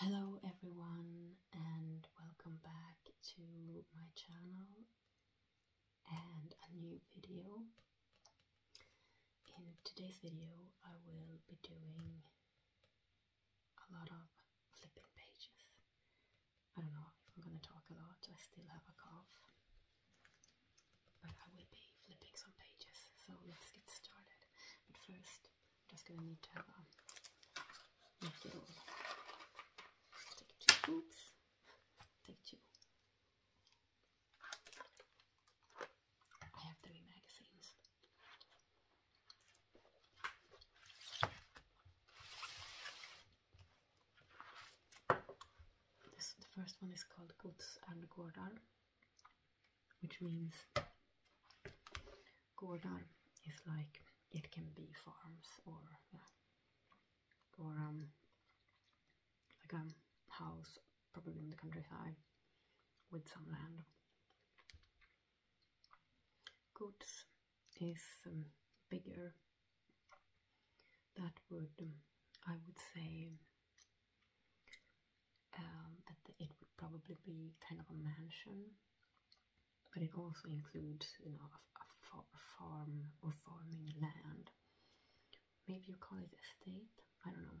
Hello everyone and welcome back to my channel and a new video. In today's video I will be doing a lot of flipping pages. I don't know if I'm gonna talk a lot, I still have a cough. But I will be flipping some pages, so let's get started. But first just gonna need to have a make it all. Take two. Oops. Take two. I have three magazines. the first one is called Gods and Gårdar which means gordon is like it can be farms or or um, like a house probably in the countryside with some land. Goods is um, bigger. That would um, I would say um, it would probably be kind of a mansion, but it also includes, you know, a, a farm or farming land. Maybe you call it estate. I don't know.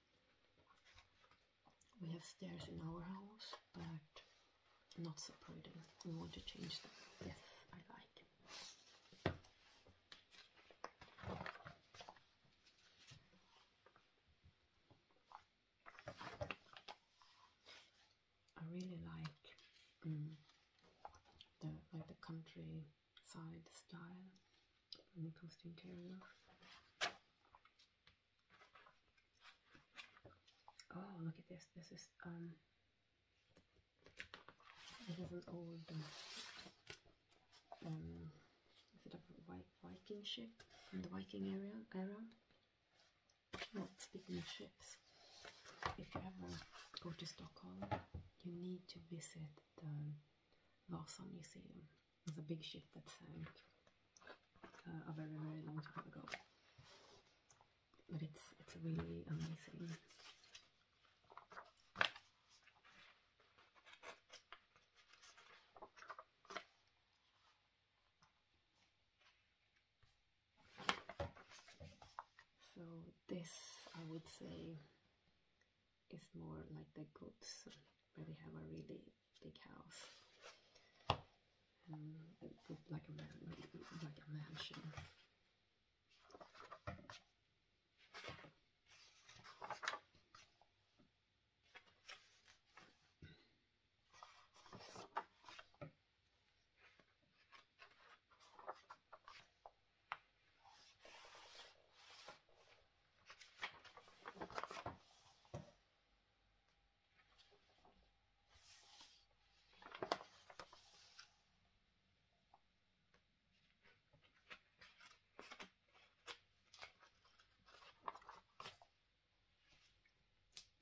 We have stairs in our house, but not so pretty. We want to change them. Yes, I like. I really like mm, the like the country side style when it comes to interior. Oh, look at this. This is um this is an old um is it a Viking ship from hmm. the Viking area era? Well, speaking of ships, if you ever go to Stockholm, you need to visit the Warsaw Museum. There's a big ship that sank uh, a very, very long time ago. But it's, it's really amazing. So this, I would say, it's more like the goods where they have a really big house. Um, like a like a mansion.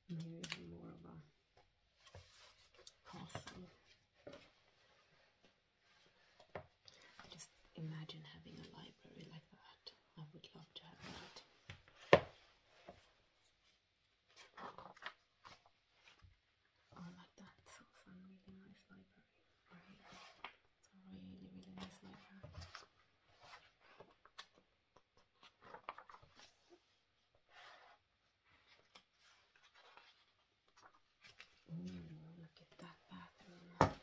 Maybe I'm more of a possum. Just imagine having a library like that. I would love to have that. Oh, I like that. So some really nice library. Right. It's a really, really nice library. Ooh, look at that bathroom.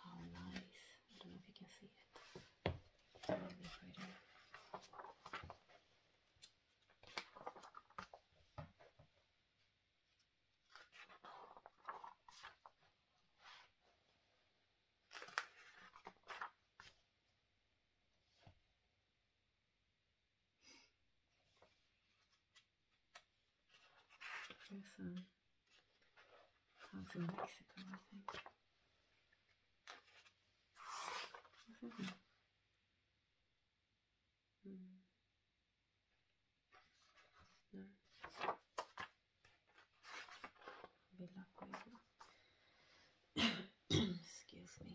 How nice. I don't know if you can see it. It's really pretty. There's some parts in Mexico, I think. What's hmm. No. Excuse me.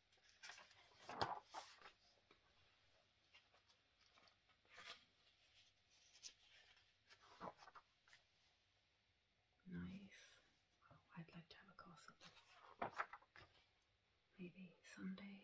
Nice. Oh, I'd like to have a gossip. Maybe someday.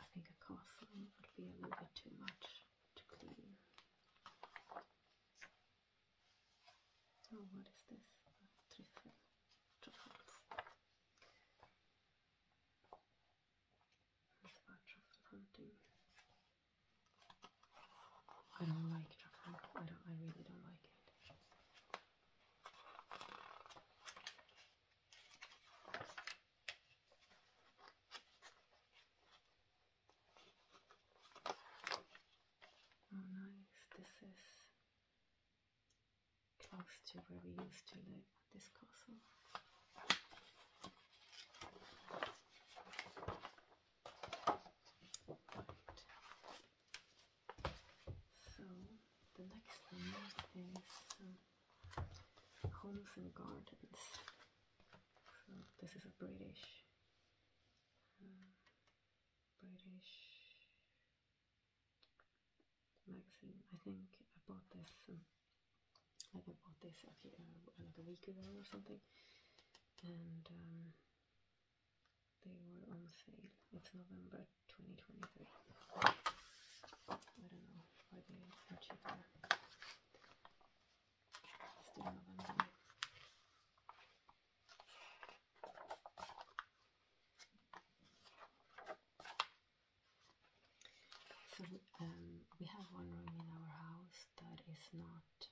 I think a castle would be a little bit too much to clean. Oh, what is this? Trifle. Truffles. It's about hunting. I don't like truffle. I don't. I really don't like it. Oh nice, this is close to where we used to live, this castle. So the next one is um, Homes and Gardens. So this is a British, um, British magazine. I think I bought this, um, like I bought this a few, uh, week ago or something, and they were on sale. It's November 2023. I don't know why they are cheaper. Still November. So um, we have one room in our house that is not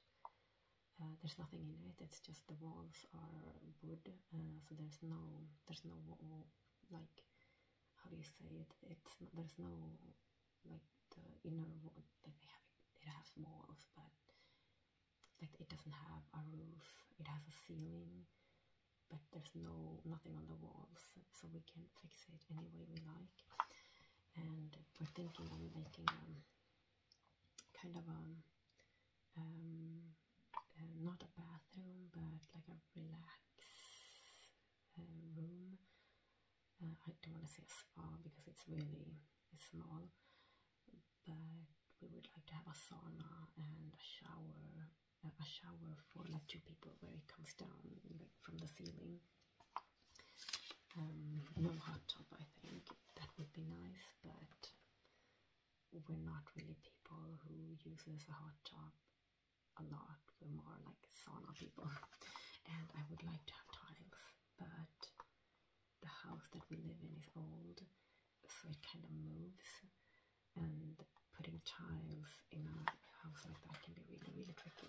uh, there's nothing in it. It's just the walls are wood, uh, so there's no there's no like how do you say it? It's there's no like the inner wall that they have. It has walls, but like it doesn't have a roof. It has a ceiling, but there's no nothing on the walls, so we can fix it any way we like. And we're thinking of making them. Um, kind of a um, um, um, not a bathroom but like a relax uh, room. Uh, I don't want to say a spa because it's really small, but we would like to have a sauna and a shower, uh, a shower for like two people where it comes down from the ceiling. Um, no hot tub, I think that would be nice, but we're not really people who uses a hot tub a lot. We're more like sauna people, and I would like to have tiles, but the house that we live in is old, so it kind of moves, and putting tiles in a house like that can be really, really tricky.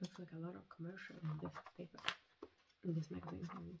Looks like a lot of commercial in this paper, in this magazine.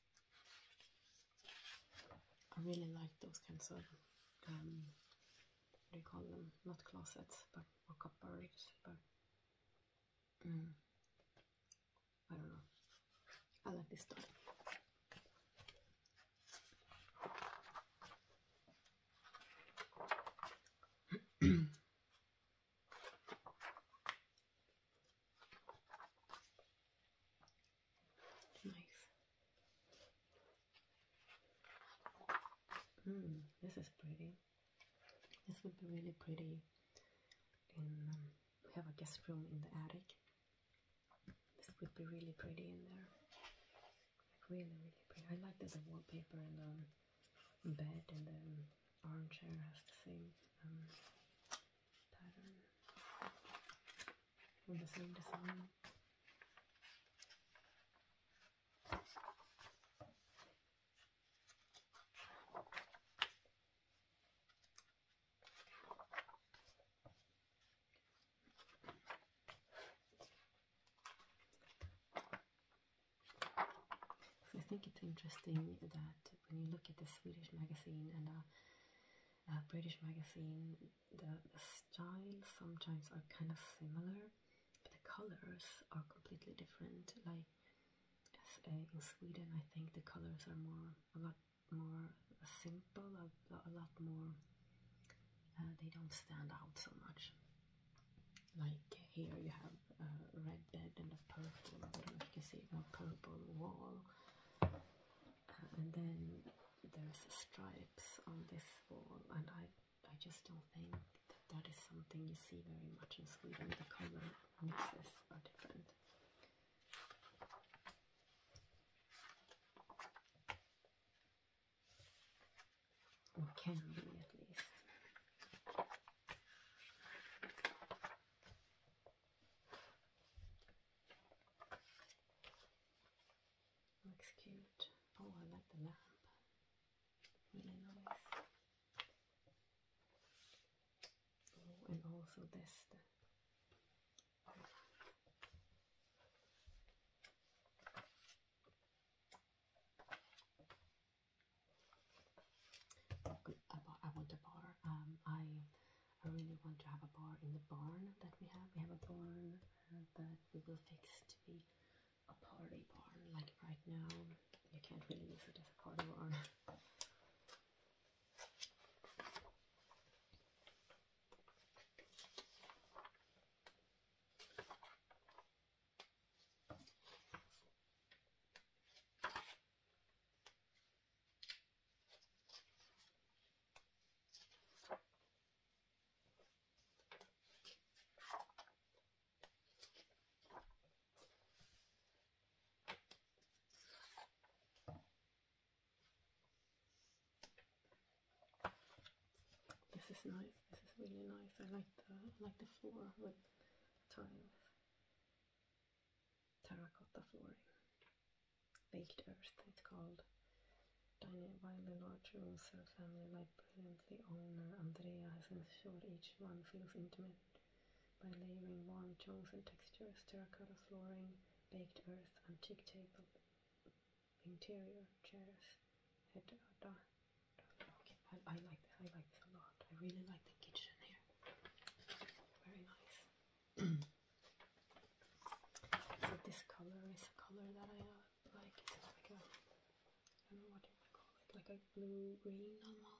I really like those kinds of um, what do you call them? Not closets, but or cupboards, but mm, I don't know. I like this one. Nice. Mm, this is pretty. This would be really pretty in we um, have a guest room in the attic. This would be really pretty in there. Like really, really pretty. I like that the wallpaper and the um, bed and the um, armchair has the same pattern. I think it's interesting that when you look at the Swedish magazine and uh, uh, British magazine, the, styles sometimes are kind of similar, but the colors are completely different. Like uh, in Sweden, I think the colors are more a lot more simple, a, lot more. Uh, they don't stand out so much. Like here, you have a red bed and a purple. you can see a purple wall. Uh, and then there's stripes on this wall and I I just don't think that is something you see very much in Sweden. The colors are different. Or can be at least. Looks cute. Oh, I like the lamp. Really nice. Oh, and also this. I want to borrow. Um, I I really want to have a bar in the barn that we have. We have a barn that we will fix to be a party barn. Like right now, you can't really use it as a party barn. This is nice. This is really nice. I like the I like the floor with tiles terracotta flooring. Baked earth, it's called. Dining by the large Roser family, like brilliantly owner Andrea, has ensured each one feels intimate by layering warm tones and textures, terracotta flooring, baked earth, antique table, interior chairs. Head, Okay, I, I like this. I like this a lot. I really like the kitchen here. Very nice so this color is a color that I uh, like. It's like a, I don't know what you would call it, like a blue green almost.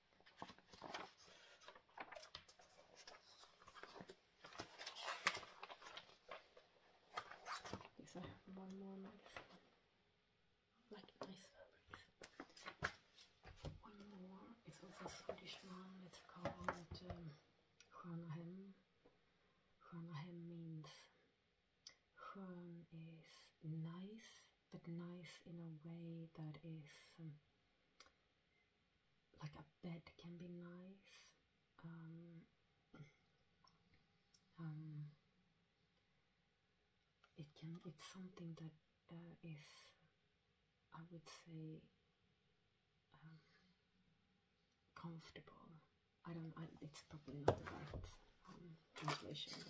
Yes, I have one more nice one. Like nice fabrics. One more is also a Swedish one. It's called um, Skönahem. Skönahem means Skön is nice but nice in a way that is um, like a bed can be nice. Um, um, it can. It's something that uh, is, I would say, comfortable. I don't. I, it's probably not the right translation.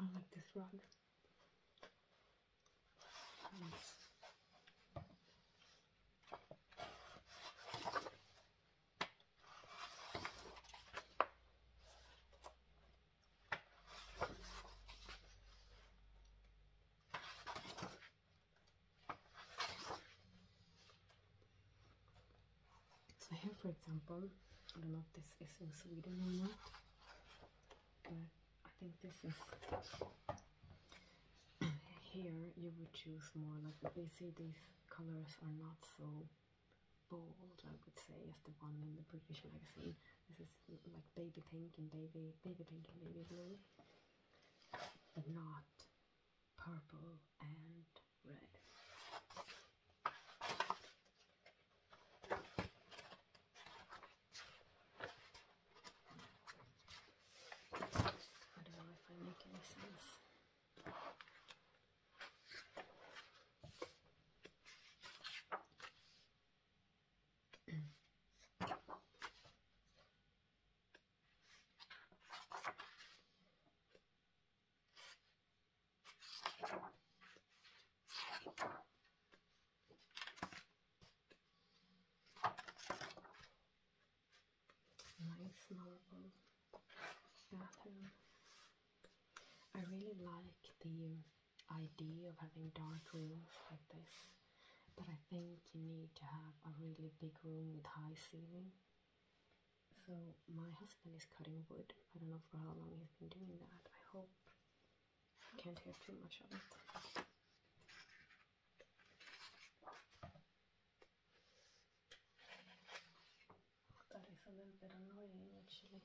I like this rug. So here, for example, I don't know if this is in Sweden or not, but I think this is here you would choose more like they see these colors are not so bold I would say as the one in the British magazine. This is mm, like baby pink and baby baby pink and baby blue. But not purple and red. I don't know if I make any sense. Nice marble bathroom. I really like the idea of having dark rooms like this, but I think you need to have a really big room with high ceiling so my husband is cutting wood. I don't know for how long he's been doing that. I hope I can't hear too much of it. That is a little bit annoying actually.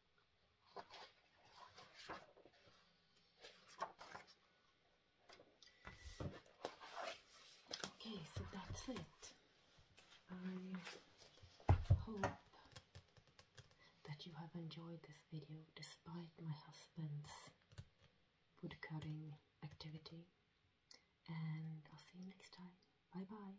Okay, so that's it. I hope that you have enjoyed this video despite my husband's woodcutting activity. And I'll see you next time. Bye bye.